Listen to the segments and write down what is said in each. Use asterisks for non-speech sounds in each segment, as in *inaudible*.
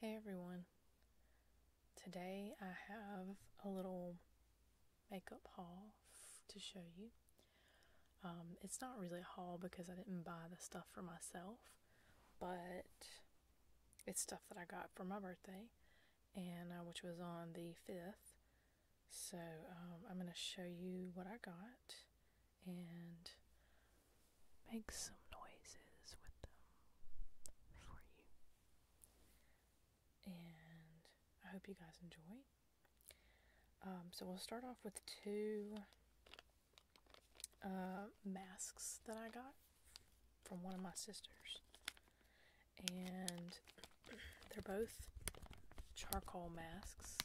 Hey everyone. Today I have a little makeup haul to show you. Um, it's not really a haul because I didn't buy the stuff for myself, but it's stuff that I got for my birthday, and uh, which was on the 5th. So um, I'm going to show you what I got and make some noises with them for you. And I hope you guys enjoy. Um, so we'll start off with two uh, masks that I got from one of my sisters and they're both charcoal masks.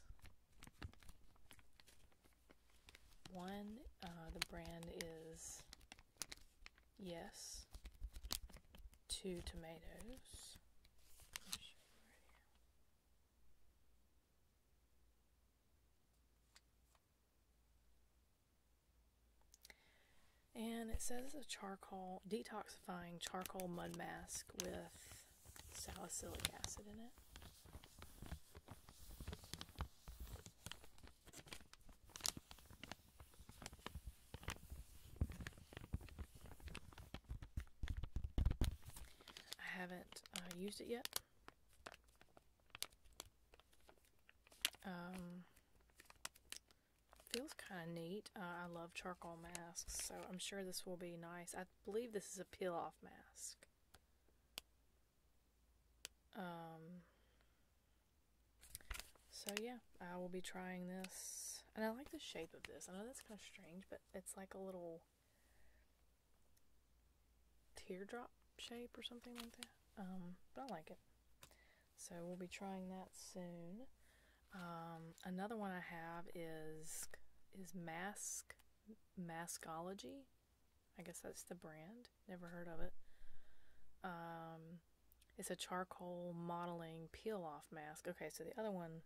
One, uh, the brand is Yes, two tomatoes. And it says a charcoal detoxifying charcoal mud mask with salicylic acid in it. I haven't uh, used it yet. Um, Feels kind of neat. Uh, I love charcoal masks, so I'm sure this will be nice. I believe this is a peel-off mask. Um, so yeah, I will be trying this. And I like the shape of this. I know that's kind of strange, but it's like a little teardrop shape or something like that. Um, but I like it. So we'll be trying that soon. Um, another one I have is is Mask Maskology. I guess that's the brand. Never heard of it. Um, it's a charcoal modeling peel off mask. Okay, so the other one,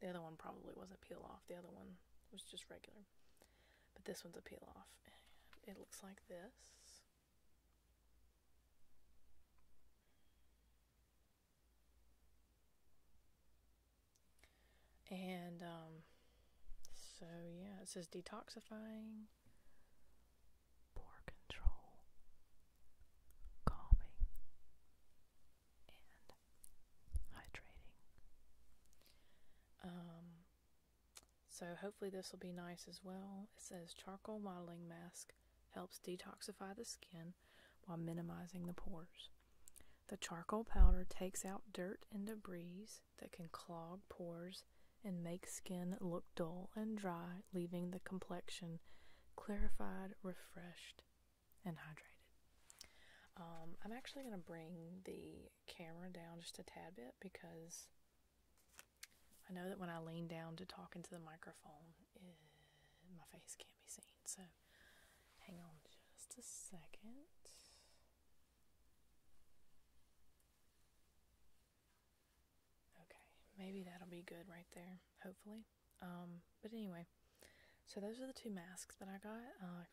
the other one probably wasn't peel off. The other one was just regular, but this one's a peel off. it looks like this. And um, so, yeah, it says detoxifying, poor control, calming, and hydrating. Um, so, hopefully, this will be nice as well. It says charcoal modeling mask helps detoxify the skin while minimizing the pores. The charcoal powder takes out dirt and debris that can clog pores and make skin look dull and dry, leaving the complexion clarified, refreshed, and hydrated. Um, I'm actually going to bring the camera down just a tad bit because I know that when I lean down to talk into the microphone, my face can't be seen. So hang on just a second. Okay, maybe that'll be good right there, hopefully. Um, but anyway, so those are the two masks that I got. Uh,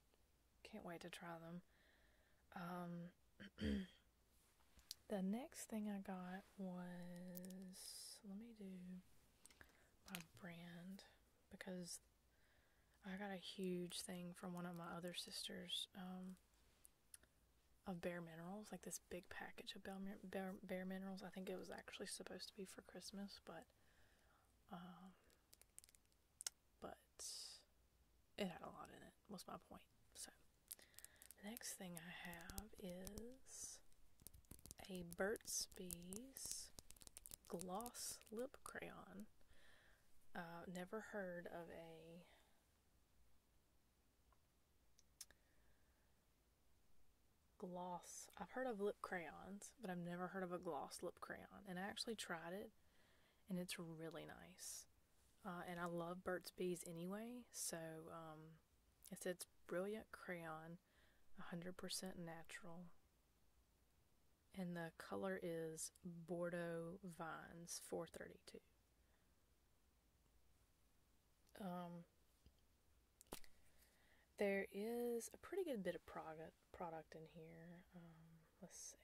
can't wait to try them. Um, *clears throat* The next thing I got was, let me do my brand because I got a huge thing from one of my other sisters um, of Bare Minerals, like this big package of Bare, Minerals. I think it was actually supposed to be for Christmas, but um, but it had a lot in it. Was my point. The next thing I have is a Burt's Bees gloss lip crayon. Uh, never heard of a gloss. I've heard of lip crayons, but I've never heard of a gloss lip crayon. And I actually tried it, and it's really nice. Uh, and I love Burt's Bees anyway, so um, it says Brilliant Crayon, 100% natural. And the color is Bordeaux Vines 432. Um, there is a pretty good bit of product product in here. Um, let's see.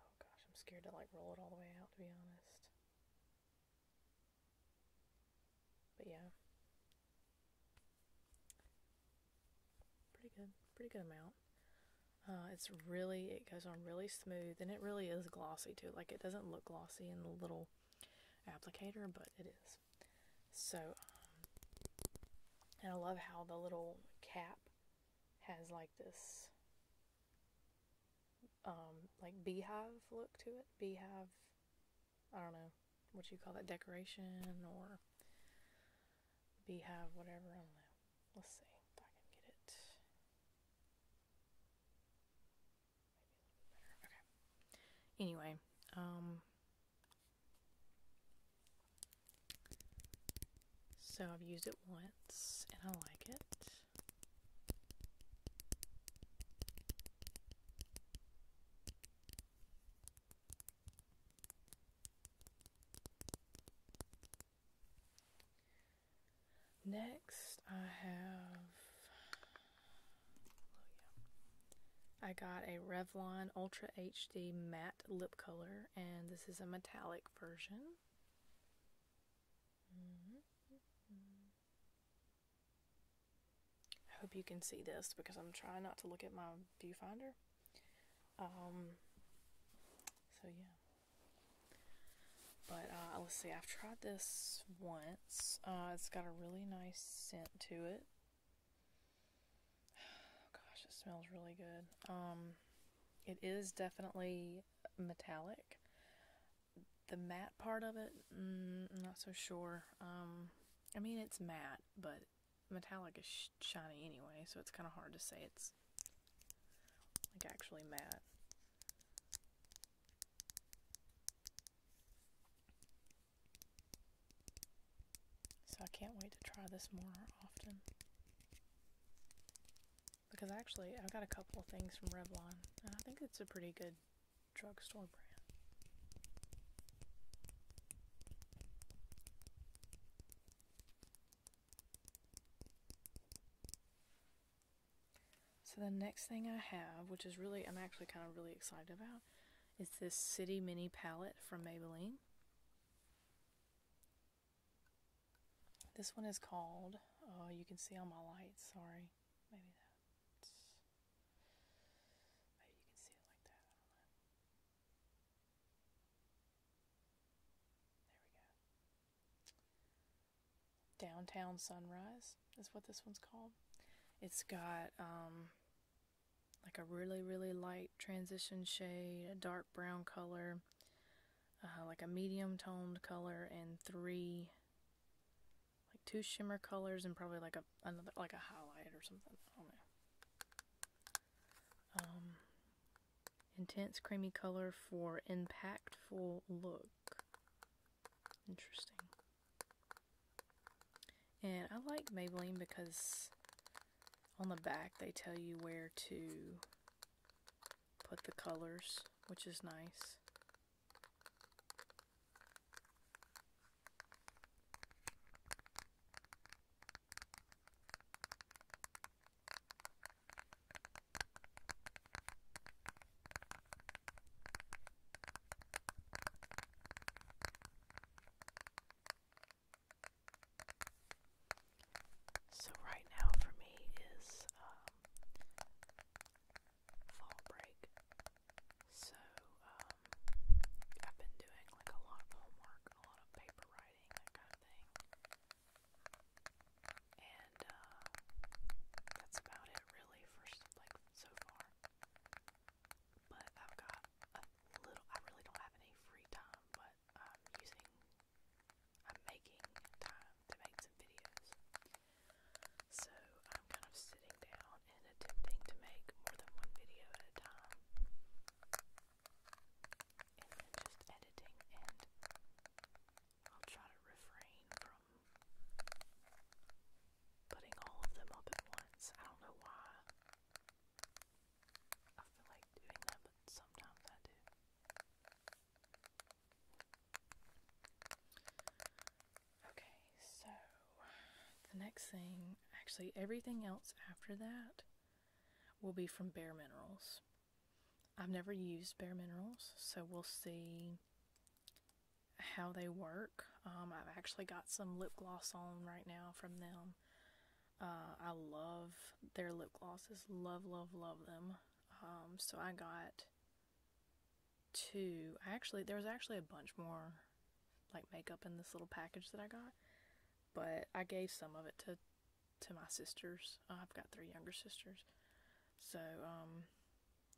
Oh gosh, I'm scared to like roll it all the way out to be honest. But yeah. Pretty good. Pretty good amount. Uh, it's really, it goes on really smooth and it really is glossy too. Like it doesn't look glossy in the little applicator, but it is. So, um, and I love how the little cap has like this um, like beehive look to it. Beehive, I don't know what you call that decoration or beehive, whatever. I do Let's see if I can get it. Okay. Anyway, um, so I've used it once and I like it. Next, I have. Oh, I got a Revlon Ultra HD Matte Lip Color, and this is a metallic version. Mm-hmm. I hope you can see this because I'm trying not to look at my viewfinder. Um, so yeah. But uh, let's see, I've tried this once. Uh, it's got a really nice scent to it. *sighs* gosh, it smells really good. Um, it is definitely metallic. The matte part of it, mm, not so sure. Um, I mean, it's matte, but metallic is shiny anyway, so it's kind of hard to say it's like actually matte. So I can't wait to try this more often because actually I've got a couple of things from Revlon, and I think it's a pretty good drugstore brand. So the next thing I have, which is really, I'm actually kind of really excited about, is this City Mini Palette from Maybelline. This one is called, oh, you can see all my lights. sorry. Maybe that. Maybe you can see it like that. There we go. Downtown Sunrise is what this one's called. It's got um, like a really, really light transition shade, a dark brown color, uh, like a medium toned color and three like two shimmer colors and probably like a another like a highlight or something. Um, intense creamy color for impactful look. Interesting. And I like Maybelline because on the back they tell you where to put the colors, which is nice. So right now for me is um, fall break. So um, I've been doing like a lot of homework, a lot of paper writing, that kind of thing. And uh, that's about it really for like so far. But I've got a little I really don't have any free time, but using I'm making time to make some videos. So I'm kind of sitting down and attempting to make more than one video at a time. And just editing, and I'll try to refrain from putting all of them up at once. I don't know why I feel like doing that, but sometimes I do. Okay, so the next thing, actually, everything else after that will be from Bare Minerals. I've never used Bare Minerals, so we'll see how they work. Um, I've actually got some lip gloss on right now from them. Uh, I love their lip glosses, love, love, love them. Um, so I got two. I actually there was actually a bunch more like makeup in this little package that I got, but I gave some of it to to my sisters. Uh, I've got three younger sisters, so um,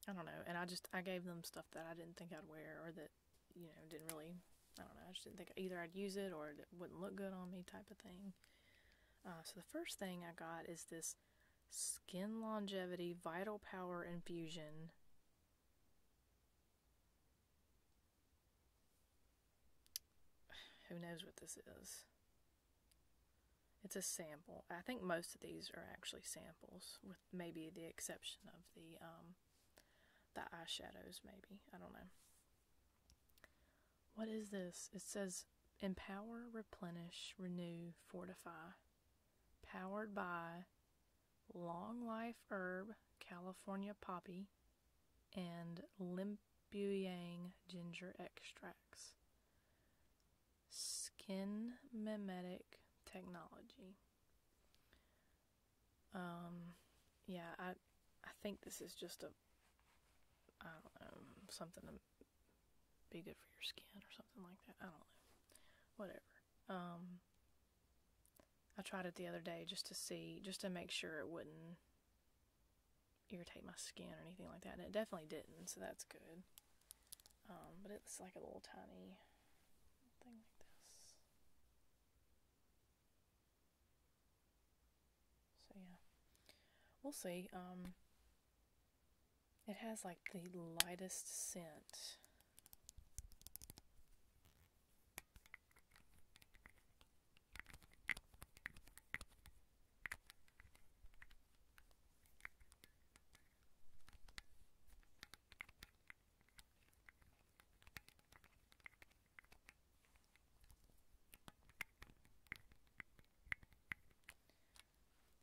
I don't know. And I just I gave them stuff that I didn't think I'd wear or that you know didn't really. I don't know. I just didn't think either I'd use it or it wouldn't look good on me, type of thing. Uh, so the first thing I got is this Skin Longevity Vital Power Infusion. *sighs* Who knows what this is? It's a sample. I think most of these are actually samples, with maybe the exception of the um, the eyeshadows. Maybe I don't know. What is this? It says empower, replenish, renew, fortify. Powered by Long Life Herb, California Poppy, and limbu yang Ginger Extracts. Skin Mimetic Technology. Um, yeah, I, I think this is just a I don't know something to be good for your skin or something like that. I don't know, whatever. Um, I tried it the other day just to see, just to make sure it wouldn't irritate my skin or anything like that, and it definitely didn't. So that's good. Um, but it's like a little tiny thing like this. So yeah, we'll see. Um, it has like the lightest scent.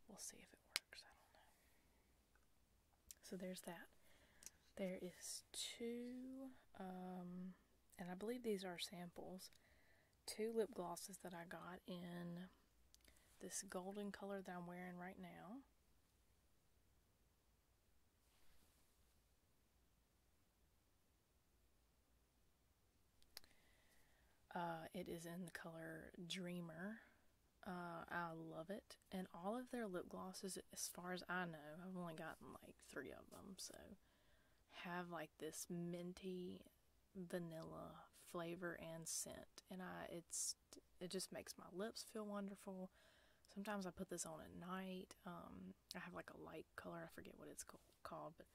We'll see if it works. I don't know. So there's that. There is two, um, and I believe these are samples, two lip glosses that I got in this golden color that I'm wearing right now. Uh, it is in the color Dreamer. Uh, I love it. And all of their lip glosses, as far as I know, I've only gotten like three of them, so have like this minty vanilla flavor and scent. And I it's it just makes my lips feel wonderful. Sometimes I put this on at night. Um, I have like a light color, I forget what it's called called, but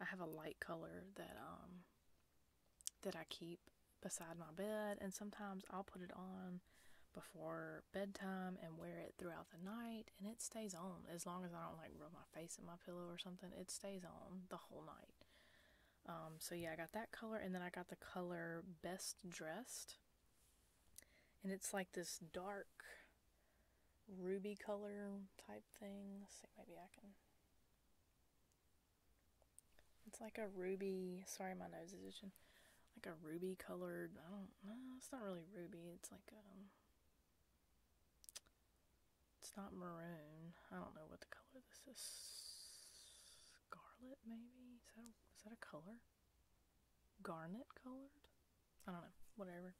I have a light color that um that I keep beside my bed, and sometimes I'll put it on before bedtime and wear it throughout the night, and it stays on as long as I don't like rub my face in my pillow or something. It stays on the whole night. Um, so yeah, I got that color, and then I got the color Best Dressed, and it's like this dark ruby color type thing. see, maybe I can. It's like a ruby. Sorry, my nose is itching. Like a ruby colored. I don't It's not really ruby. It's like um. It's not maroon. I don't know what the color this is. Scarlet, maybe. Is that a, is that a color? Garnet colored. I don't know, whatever.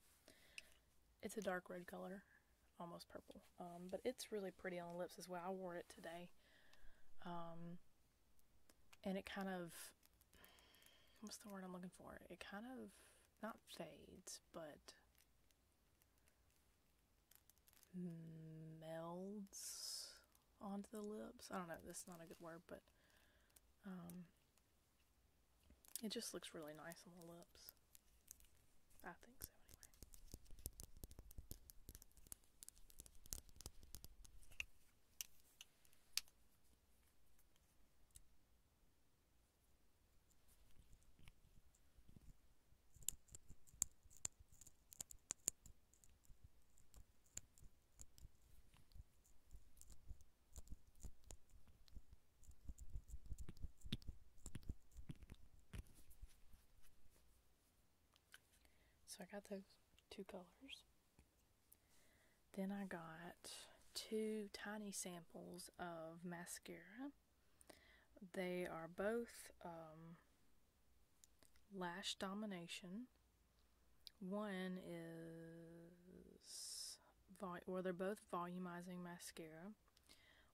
It's a dark red color, almost purple. Um, but it's really pretty on the lips as well. I wore it today. Um, and it kind of, what's the word I'm looking for? It kind of, not fades, but melds onto the lips. I don't know, that's not a good word, but um, it just looks really nice on the lips. I think so, anyway. So I got those two colors. Then I got two tiny samples of mascara. They are both um, Lash Domination. One is or they're both volumizing mascara.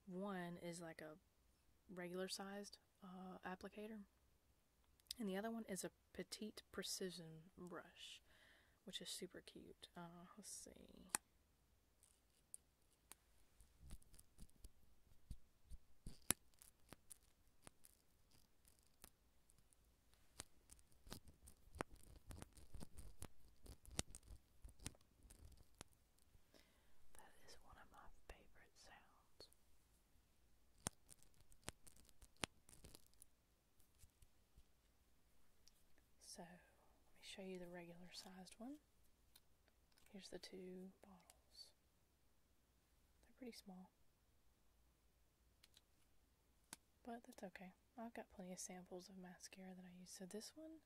One is like a regular sized uh, applicator, and the other one is a petite precision brush, which is super cute. Uh, let's see. That is one of my favorite sounds. So, let me show you the regular sized one. Here's the two bottles. They're pretty small. But that's okay. I've got plenty of samples of mascara that I use. So this one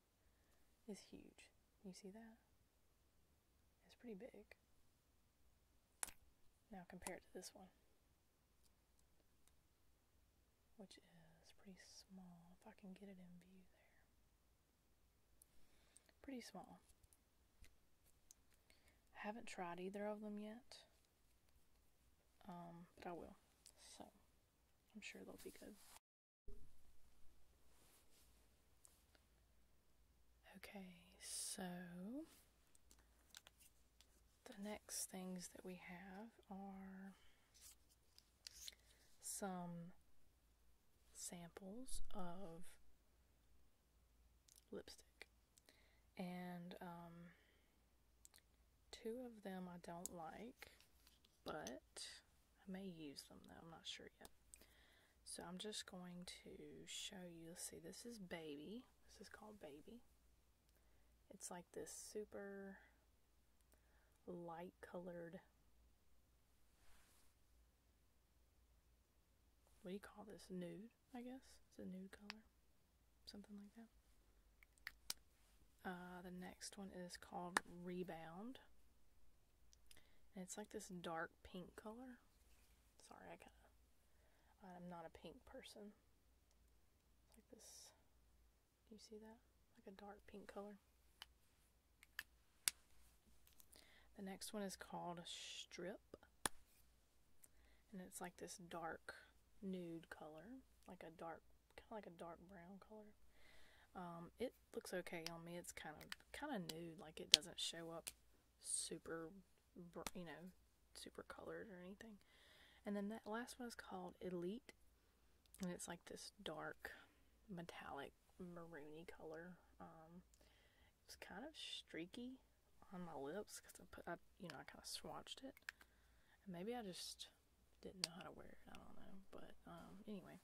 is huge. You see that? It's pretty big. Now compare it to this one. Which is pretty small. If I can get it in view there. Pretty small. I haven't tried either of them yet. Um, but I will. So I'm sure they'll be good. Okay, so the next things that we have are some samples of lipstick. And um, Two of them I don't like, but I may use them though, I'm not sure yet. So I'm just going to show you, see, this is Baby. This is called Baby. It's like this super light colored, what do you call this, nude, I guess? It's a nude color something like that. Uh, the next one is called Rebound. And it's like this dark pink color. Sorry, I kind of. I'm not a pink person. like this. You see that? Like a dark pink color. The next one is called Strip. And it's like this dark nude color. Like a dark kind of like a dark brown color. Um, it looks okay on me. It's kind of kind of nude, like it doesn't show up super, you know, super colored or anything. And then that last one is called Elite, and it's like this dark metallic maroony color. Um, it's kind of streaky on my lips because I put, you know, I kind of swatched it. maybe I just just didn't know how to wear it. I don't know. But um, anyway,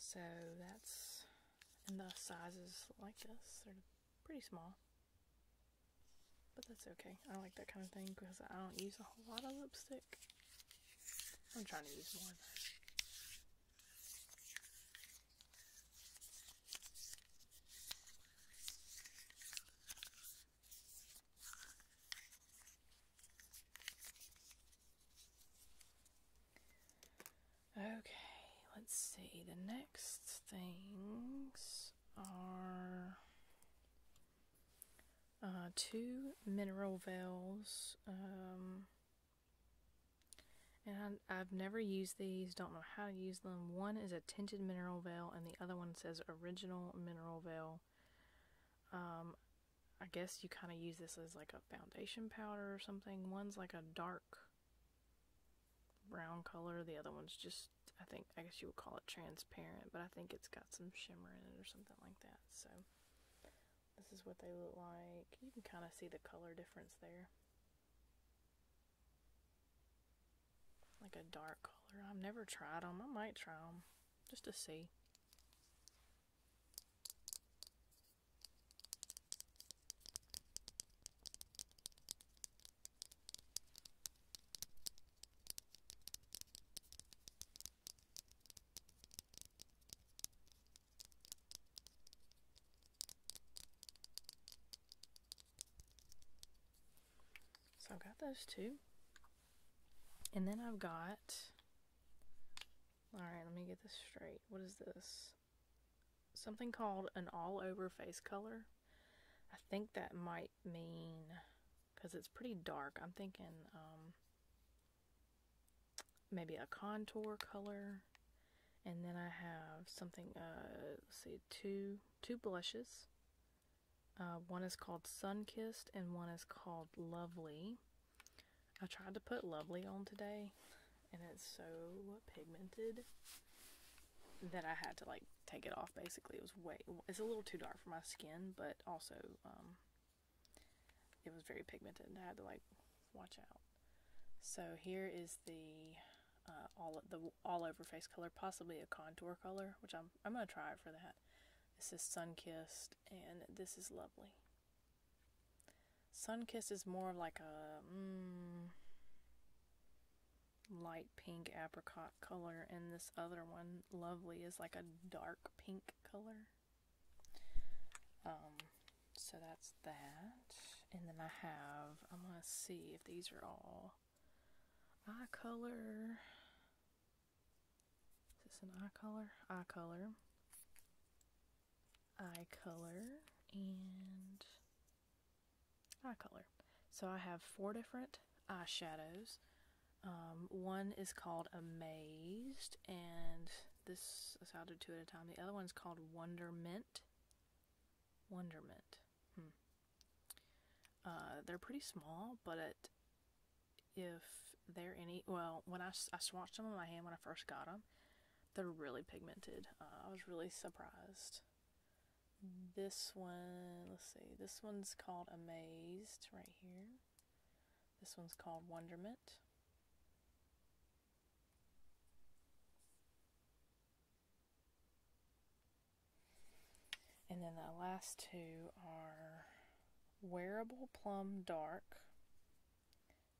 so that's, and the sizes like this are pretty small. But that's okay. I like that kind of thing because I don't use a whole lot of lipstick. I'm trying to use more Okay, let's see. The next things are uh, two mineral veils. Um, and I, have never used these, don't know how to use one is a tinted mineral veil and the other one says original mineral veil. Um, I guess you kind of use this as like a foundation powder or something. One's like a dark brown color. The other one's just, I think, I guess you would call it transparent, but I think it's got some shimmer in it or something like that. So this is what they look like. You can kind of see the color difference there like a dark color. I've never tried them. I might try them just to see. So I've got those two. And then I've got, all right, let me get this straight. What is this? Something called an all over face color. I think that might mean, because it's pretty dark, I'm thinking um, maybe a contour color. And then I have something, uh, let's see, two, two blushes. Uh, one is called Sunkissed and one is called Lovely. I tried to put Lovely on today and it's so pigmented that I had to like take it off basically. It was way, it's a little too dark for my skin, but also um, it was very pigmented and I had to like watch out. So here is the uh, all the all over face color, possibly a contour color, which I'm I'm gonna try for that. This is Sunkissed, and this is lovely. Sunkissed is more like a mm, light pink apricot color, and this other one, Lovely, is like a dark pink color. Um, so that's that. And then I have, I'm going to see if these are all eye color. Is this an eye color? Eye color. Eye color and eye color. So I have four different eyeshadows. Um, one is called Amazed, and this is how to do two at a time. The other one is called Wonderment. Wonderment. Hmm. Uh, they're pretty small, but if they're any, well, when I, I swatched them on my hand when I first got them, they're really pigmented. Uh, I was really surprised. This one, let's see, this one's called Amazed right here. This one's called Wonderment. And then the last two are Wearable Plum Dark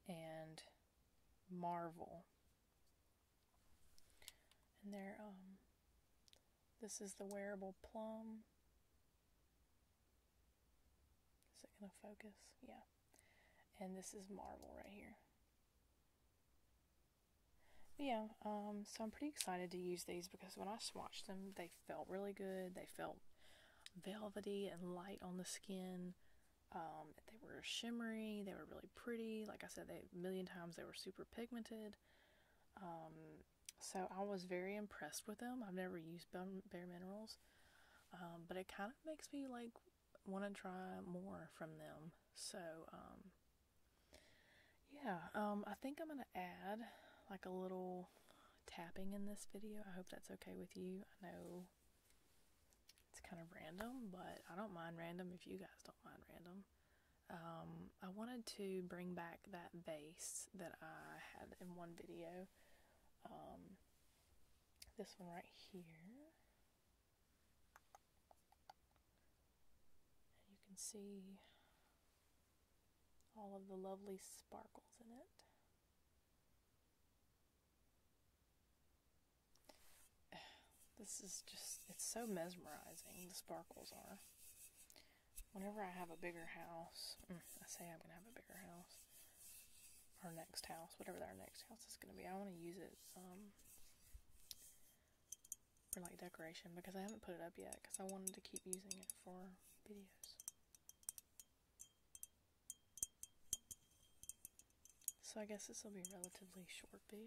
and Marvel. And they're, um, this is the Wearable Plum. Is it going to focus? Yeah. And this is Marvel right here yeah, um, so I'm pretty excited to use these because when I swatched them, they felt really good. They felt velvety and light on the skin. Um, they were shimmery. They were really pretty. Like I said, a million times they were super pigmented. Um, so I was very impressed with them. I've never used Bare Minerals, but it kind of makes me like want to try more from them. So yeah, um, I think I'm going to add like a little tapping in this video. I hope that's okay with you. I know it's kind of random, but I don't mind random if you guys don't mind random. Um, I wanted to bring back that vase that I had in one video. Um, this one right here. And you can see all of the lovely sparkles in it. *sighs* This is just, it's so mesmerizing, the sparkles are. Whenever I have a bigger house, mm, I say I'm going to have a bigger house, our next house, whatever our next house is going to be, I want to use it um, for like decoration because I haven't put it up yet because I wanted to keep using it for videos. So I guess this will be relatively short video.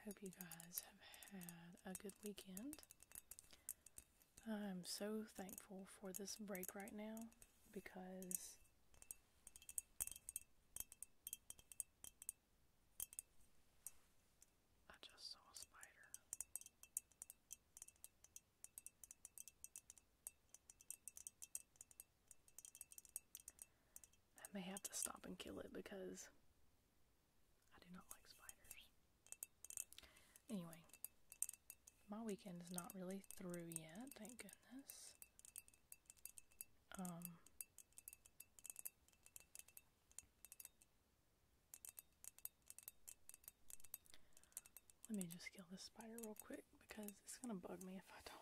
I hope you guys have had a good weekend. I'm so thankful for this break right now because I just saw a spider. I may have to stop and kill it because I do not like spiders. Anyway, my weekend is not really through yet, thank goodness. Um, let me just kill this spider real quick because it's gonna bug me if I don't.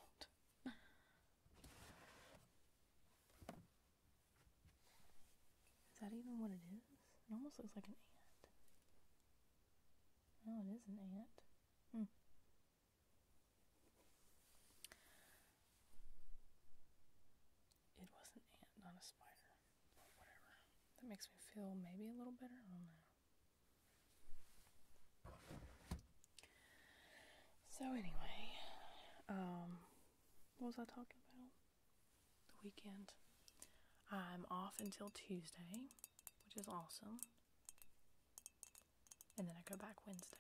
Is that even what it is? It almost looks like an ant. No, it is an ant. Hmm. It was an ant, not a spider. whatever. That makes me feel maybe a little better. So anyway, um, what was I talking about? The weekend. I'm off until Tuesday, which is awesome. And then I go back Wednesday.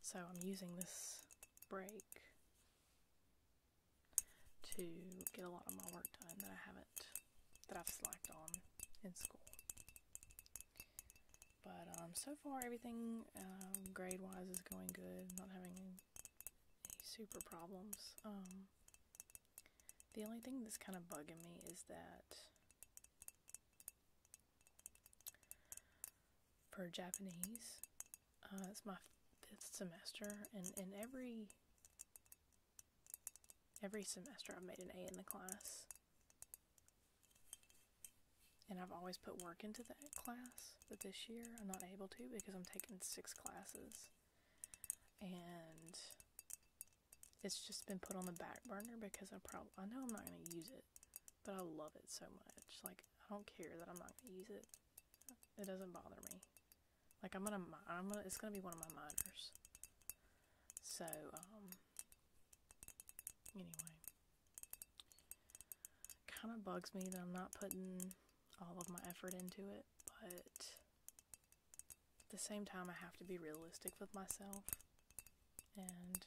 So I'm using this break to get a lot of my work done that I haven't, that I've slacked on in school. But um, so far, everything um, grade wise is going good. not having any, super problems. Um, the only thing that's kind of bugging me is that for Japanese, uh, it's my fifth semester, and in every Every semester I've made an A in the class. And I've always put work into that class, but this year I'm not able to because I'm taking six classes. And it's just been put on the back burner because I probably I know I'm not going to use it, but I love it so much. Like I don't care that I'm not going to use it. It doesn't bother me. Like I'm gonna, I'm gonna, it's gonna be one of my minors. So, um, anyway, kind of bugs me that I'm not putting all of my effort into it, but at the same time, I have to be realistic with myself and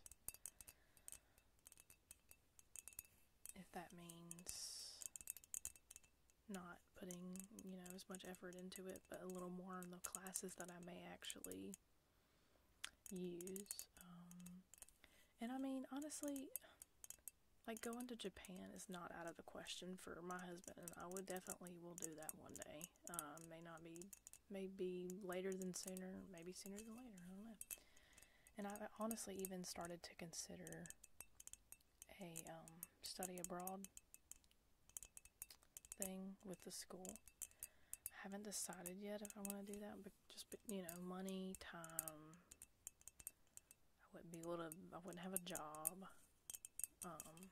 if that means not putting, you know, as much effort into it, but a little more in the classes that I may actually use. Um, and I mean, honestly, like going to Japan is not out of the question for my husband, and I would definitely will do that one day. Um, may not be, maybe later than sooner, maybe sooner than later. I don't know. And I honestly even started to consider a um, study abroad thing with the school. I haven't decided yet if I want to do that, but just you know, money, time. I wouldn't be able to. I wouldn't have a job. Um.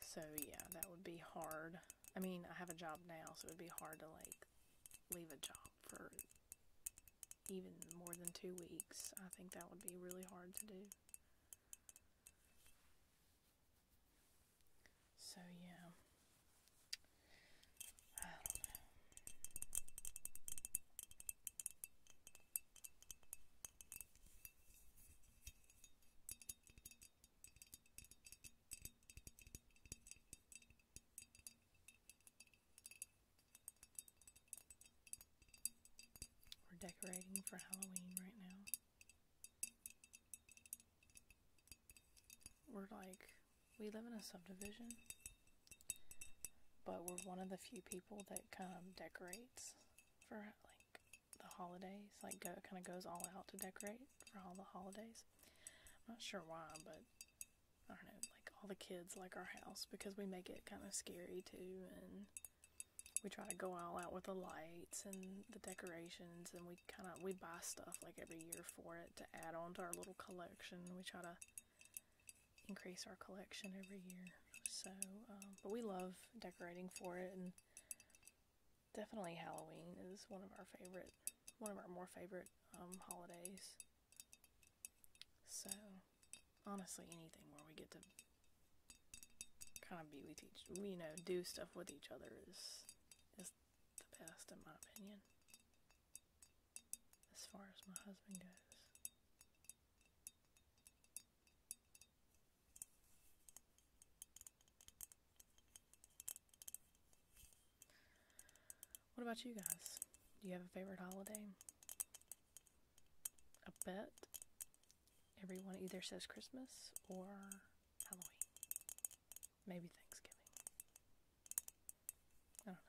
So yeah, that would be hard. I mean, I have a job now, so it would be hard to like leave a job for even more than two weeks. I think that would be really hard to do. So, yeah. I don't know. We're decorating for Halloween right now. We're like, we live in a subdivision, but we're one of the few people that kind of decorates for like the holidays, like go, kind of goes all out to decorate for all the holidays. I'm not sure why, but I don't know, like all the kids like our house because we make it kind of scary too. And we try to go all out with the lights and the decorations. And we kind of, we buy stuff like every year for it to add on to our little collection. We try to increase our collection every year. So, um, but we love decorating for it. And definitely Halloween is one of our favorite, one of our more favorite um, holidays. So, honestly, anything where we get to kind of be we teach we know do stuff with each other is is the best in my opinion. As far as my husband goes. What about you guys? Do you have a favorite holiday? I bet everyone either says Christmas or Halloween. Maybe Thanksgiving. I don't know.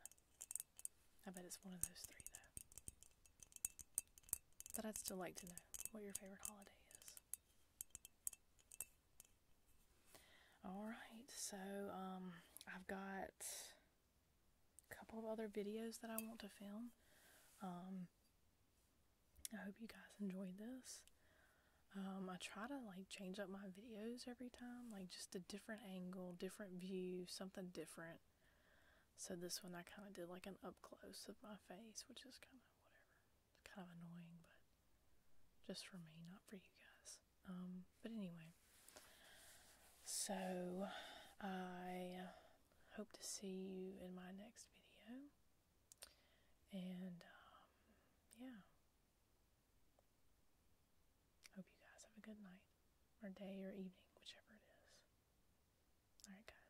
I bet it's one of those three, though. But I'd still like to know what your favorite holiday is. Alright, so um, I've got a couple of other videos that I want to film. Um, I hope you guys enjoyed this. Um, I try to like change up my videos every time, like just a different angle, different view, something different. So this one I kind of did like an up close of my face, which is kind of whatever. kind of annoying, but just for me, not for you guys. Um, but anyway, so I hope to see you in my next video. And um, yeah, hope you guys have a good night, or day, or evening, whichever it is. All right, guys.